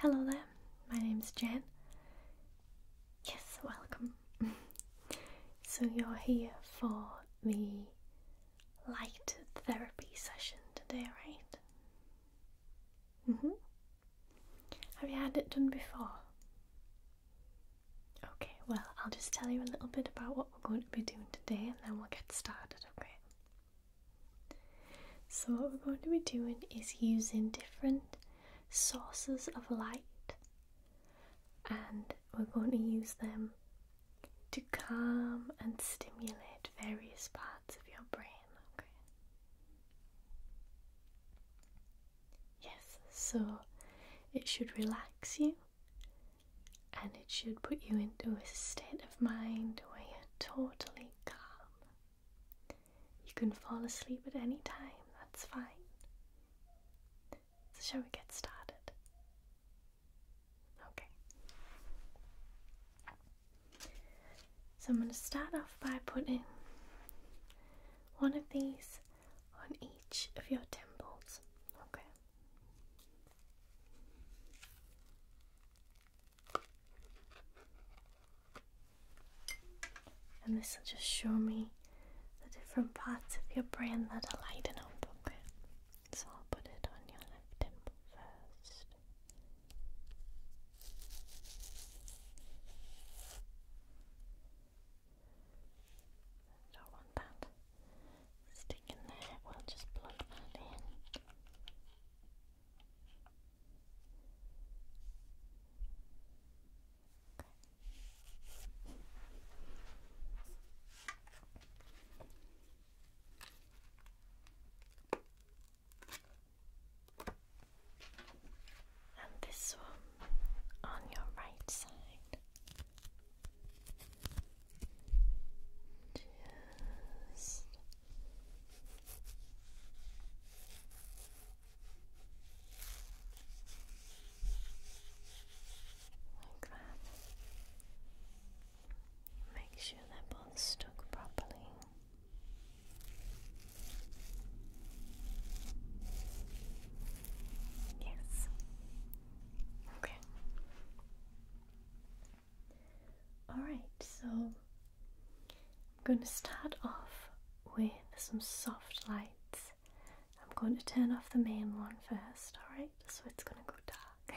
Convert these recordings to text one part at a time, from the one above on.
Hello there, my name is Jen. Yes, welcome. so, you're here for the light therapy session today, right? Mm hmm. Have you had it done before? Okay, well, I'll just tell you a little bit about what we're going to be doing today and then we'll get started, okay? So, what we're going to be doing is using different sources of light and we're going to use them to calm and stimulate various parts of your brain, okay? Yes, so it should relax you and it should put you into a state of mind where you're totally calm. You can fall asleep at any time, that's fine. So, shall we get started? Okay. So, I'm going to start off by putting one of these on each of your temples, okay? And this will just show me the different parts of your brain that are lighting up, okay? So I'll put it on your left temple first. Don't want that stick there. We'll just plug that in. And this one on your right side. Just like that. Make sure they're both stuck properly. Yes, Okay. Alright, so I'm going to start off with some soft lights. I'm going to turn off the main one first, alright? So it's going to go dark.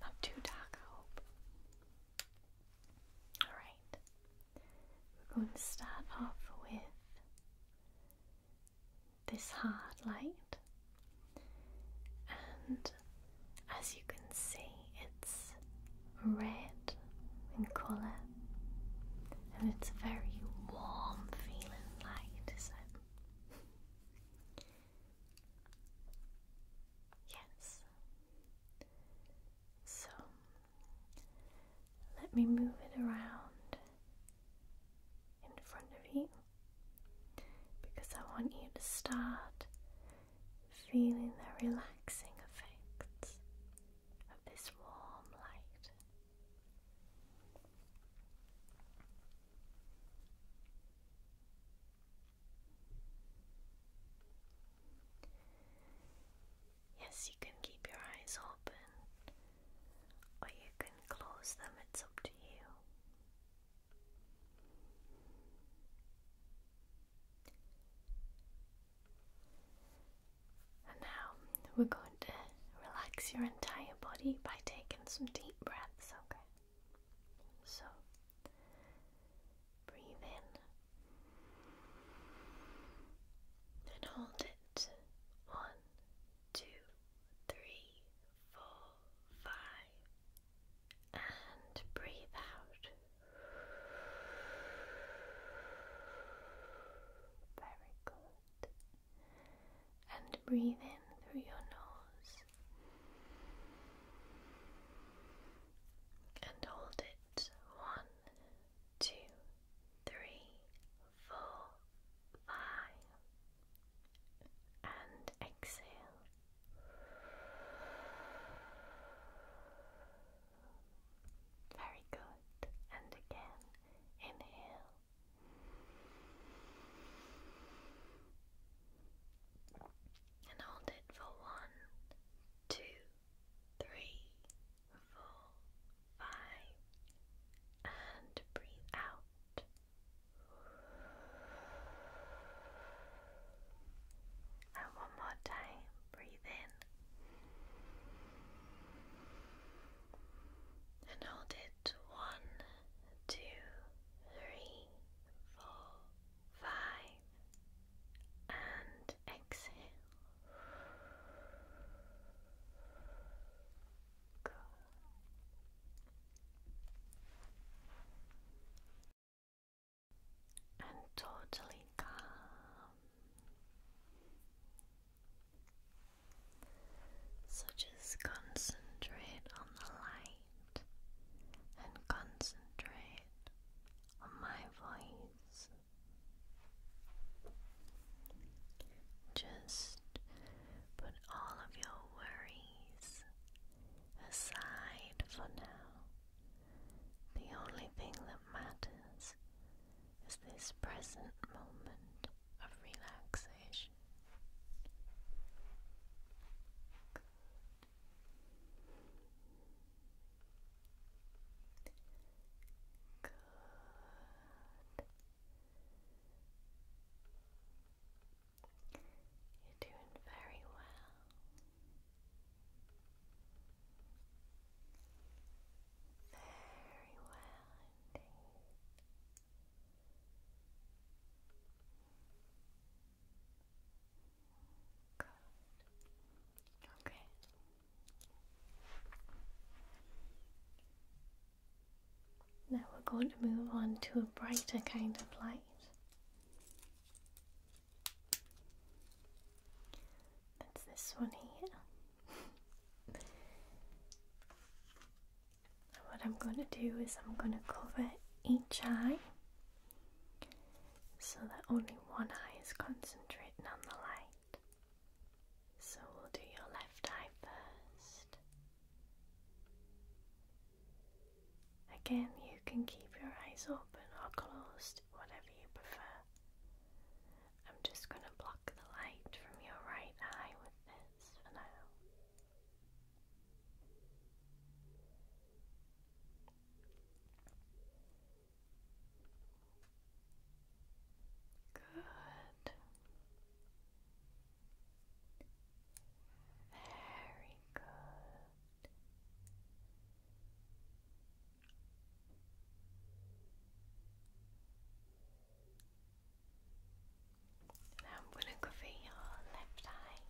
Not too dark, I hope. Alright, we're going to start off with this hard light, and as you can see, it's red in colour and it's a very warm feeling light, is Yes. So let me move it around in front of you because I want you to start feeling the relaxing effects of this warm light. Yes, you can keep your eyes open or you can close them, it's up to you. And now we're going to relax your entire body by taking some deep breaths, okay? So breathe in and hold it. One, two, three, four, five, and breathe out. Very good and breathe in through your nose and hold it one, two, three, four, five, and exhale. Very good, and again inhale. And hold it for one, two, three, four, five, and breathe out. And one more time, breathe in. And hold it one, two, three, four, five, and exhale. Go. And totally calm. So just concentrate on the light and concentrate on my voice. Just put all of your worries aside for now. The only thing that matters is this present moment of relaxation. Good. You're doing very well. Very well indeed. Okay. Now we're going to move on to a brighter kind of light. That's this one here. And what I'm going to do is I'm going to cover each eye so that only one eye is concentrating on the light. So we'll do your left eye first. Again, you can keep your eyes open or closed, whatever you prefer. I'm just going to block the light from your right eye with this minutes for Good. Very Good. And I'm going to cover your left eye.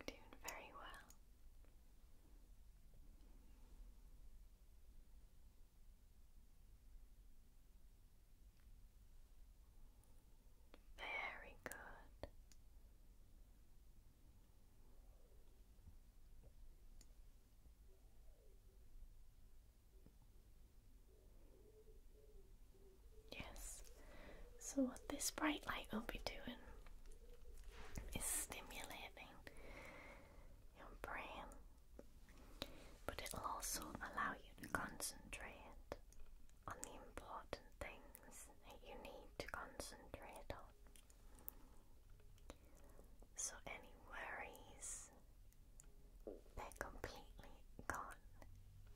you doing very well. Very good. Yes. So, what this bright light will be doing is stimulating your brain, but it'll also allow you to concentrate on the important things that you need to concentrate on. So, any worries, they're completely gone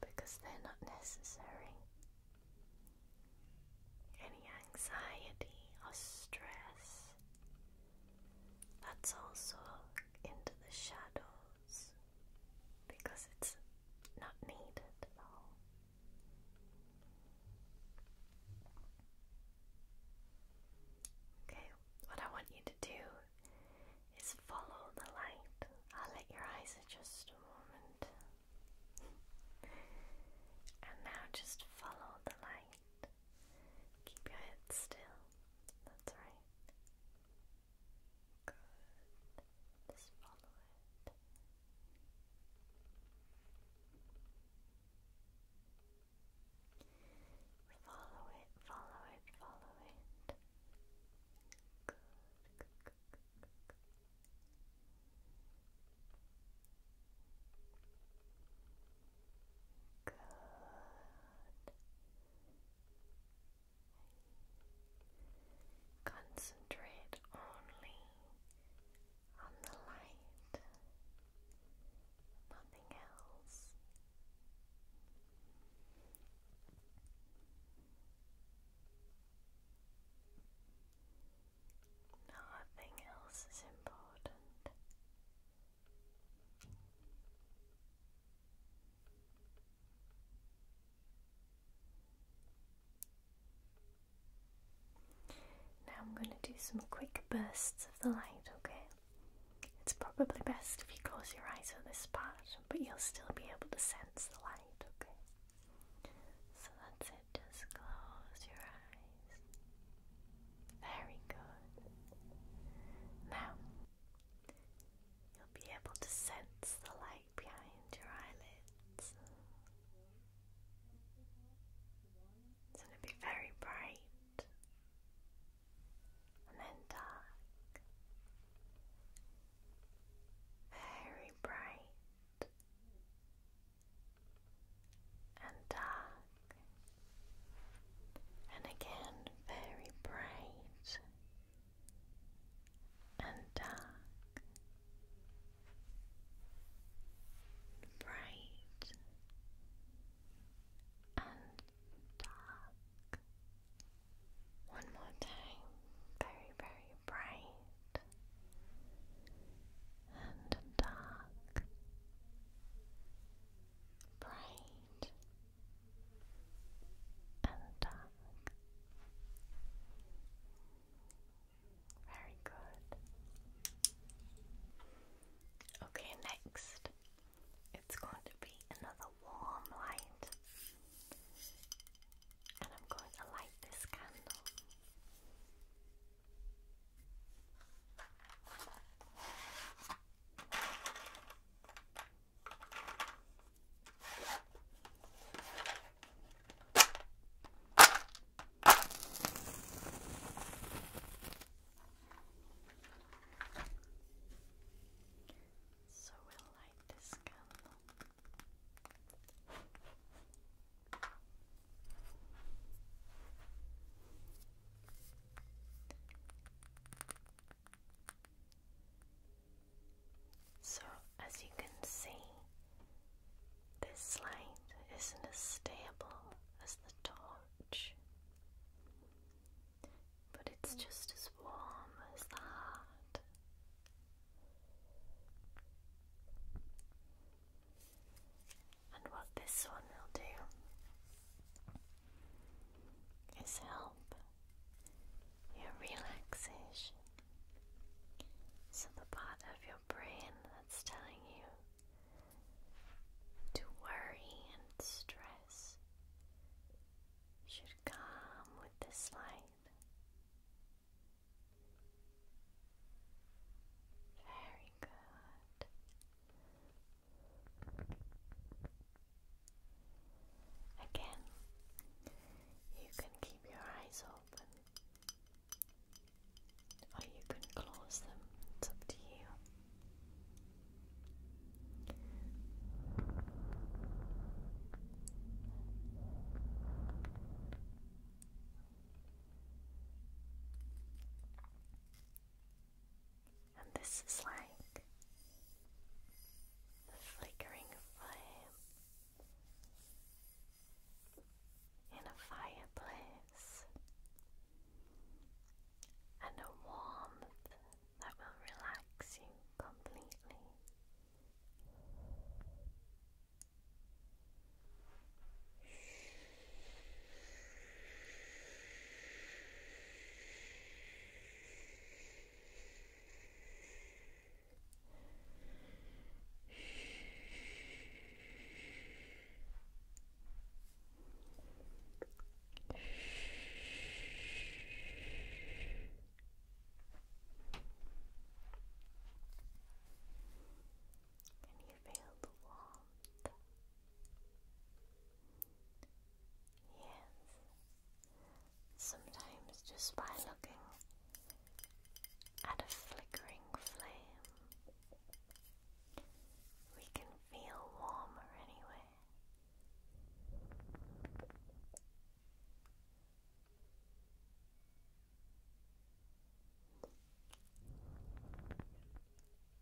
because they're not necessary. Any anxiety or stress, that's also into the shadow because it's not needed at all. Okay, what I want you to do is follow the light. I'll let your eyes adjust a moment. and now just follow the light. Keep your head still. That's right. Good. Just follow it. Follow it, follow it, follow it. Good, good, Concentrate only on the light, nothing else. Nothing else is important. Now I'm going to do some quick bursts of the light, okay? It's probably best if you close your eyes for this part, but you'll still be able to sense the light, okay? So that's it, just close your eyes. Very good. Now, You'll be able to sense the light behind your eyelids. It's going to be very bright and then dark. Very bright and dark, and again very bright and dark, bright and dark. One more time, very, very bright and dark, bright and tongue. Very good. Okay, next it's going to be another warm light, and I'm going to light this candle. So we'll light this candle. So, as you can see, this light isn't as stable as the torch, but it's just as warm as the heart. And what this one will do is help your relaxation. So, the part of your brain that's telling you to worry and stress should come with this light. Very good. Again, you can keep your eyes open or you can close them, it's up to you. And this is like the flickering flame in a fireplace and a warmth that will relax you completely. Can you feel the warmth? Yes. Sometimes just by looking at a flickering flame, we can feel warmer anyway. Very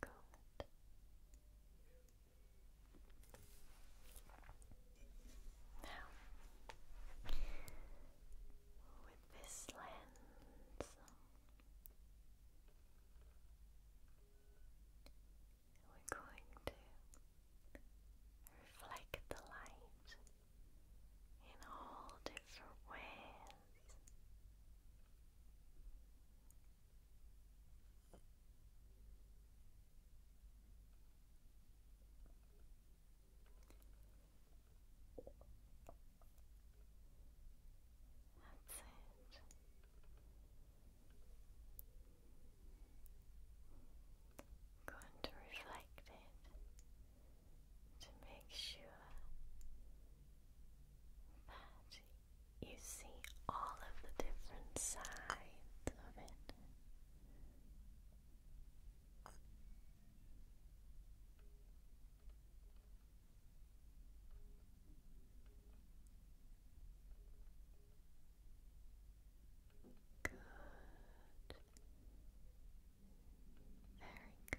good. Now, with this lens, we're going to reflect the light in all different ways. That's it. Go to reflect it to make sure that you see all of the different sides of it. Good. Very good.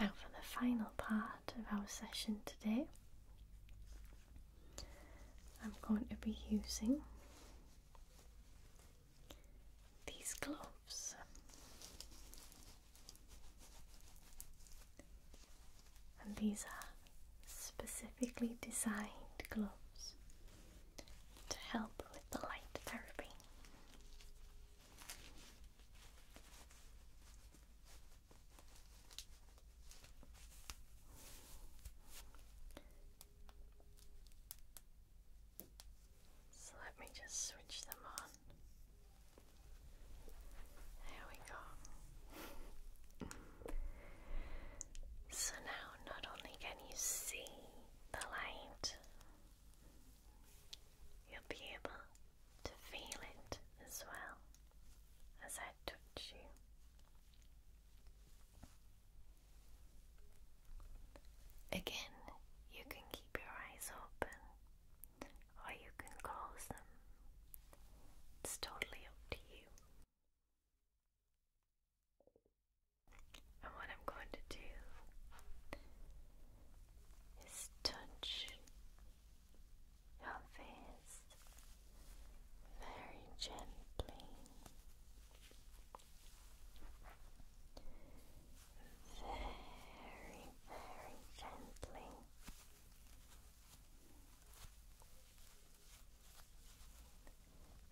Now, for the final part of our session today, I'm going to be using these gloves. And these are specifically designed gloves to help with the light therapy. So let me just switch them on. There we go. so now not only can you see the light, you'll be able to feel it as well as I touch you. Again, you can keep your eyes open or you can close them. It's totally up to you. And what I'm going to do is touch your face very gently, very, very gently.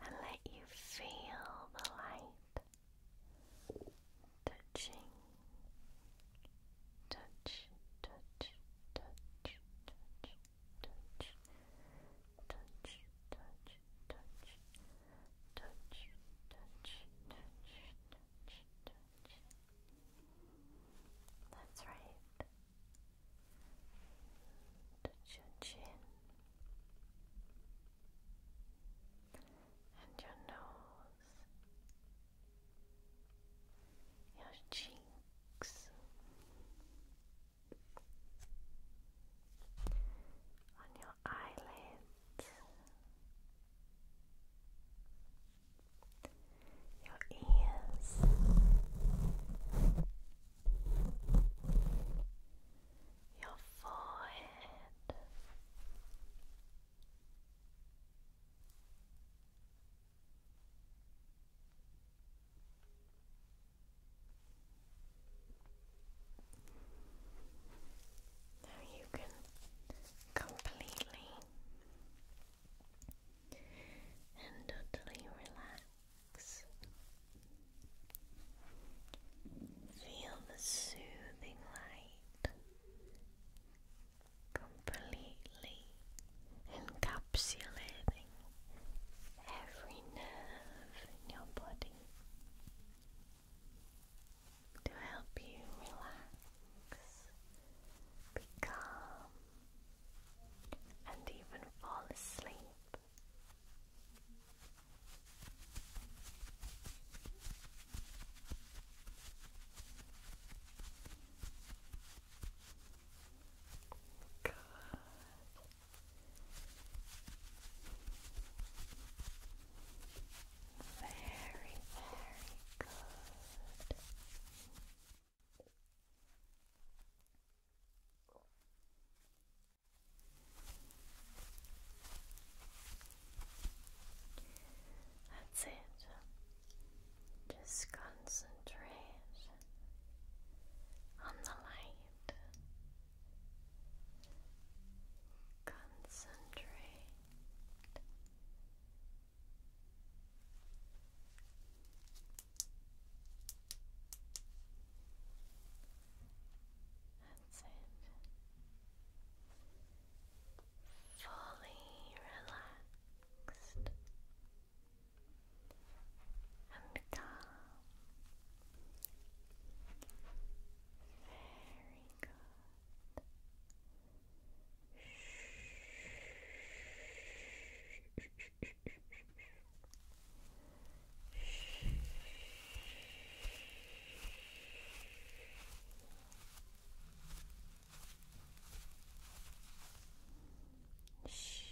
And let you feel the light touching, touch, touch, touch, touch, touch, touch, touch, touch, touch, touch, touch, touch, That's right. Touch your chin and your nose your cheeks, on your eyelids, your ears, your forehead. Now you can completely and totally relax. Feel the soothing light completely encapsulating every nerve in your body to help you relax, be and even fall asleep. Good. Very, very good. That's it. Just concentrate on the light. Concentrate. That's it fully relaxed and calm. Very good. Shh.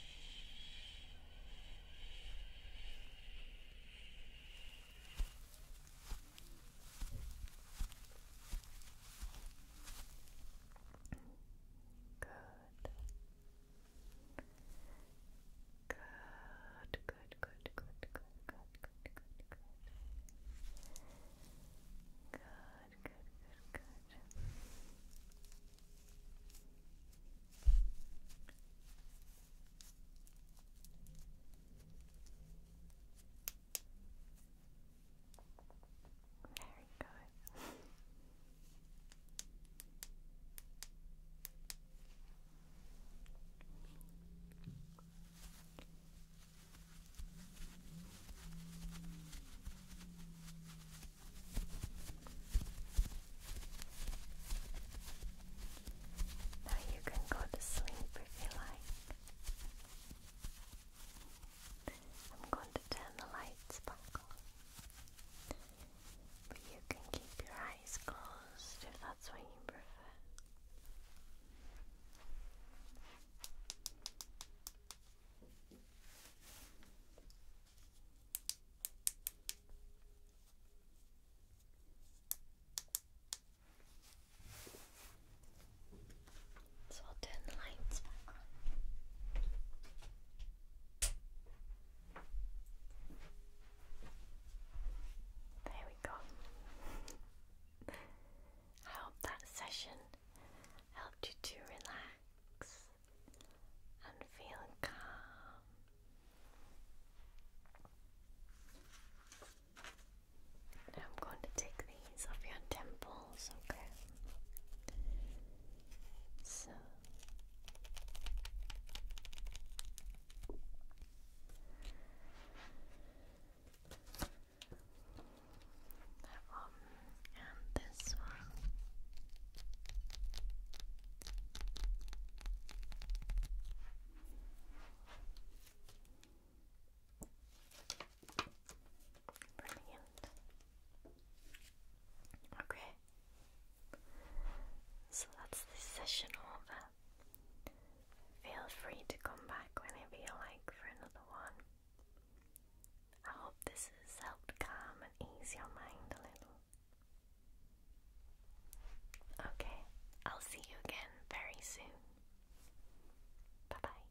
Good. Good, good, good, good, good, good, good, good, good. Good, good, good, good. Very good. Good, now you can go to sleep if you like. I'm going to turn the lights back But you can keep your eyes closed if that's what you prefer. So I'll turn the lights back on. There we go. I hope that session helped you to relax and feel calm. I'm going to take these off your temples, okay? So. That one and this one. Brilliant. Okay. So that's this session over. Feel free to come back whenever you like for another one. I hope this has helped calm and ease your mind a little. Okay, I'll see you again very soon. Bye bye.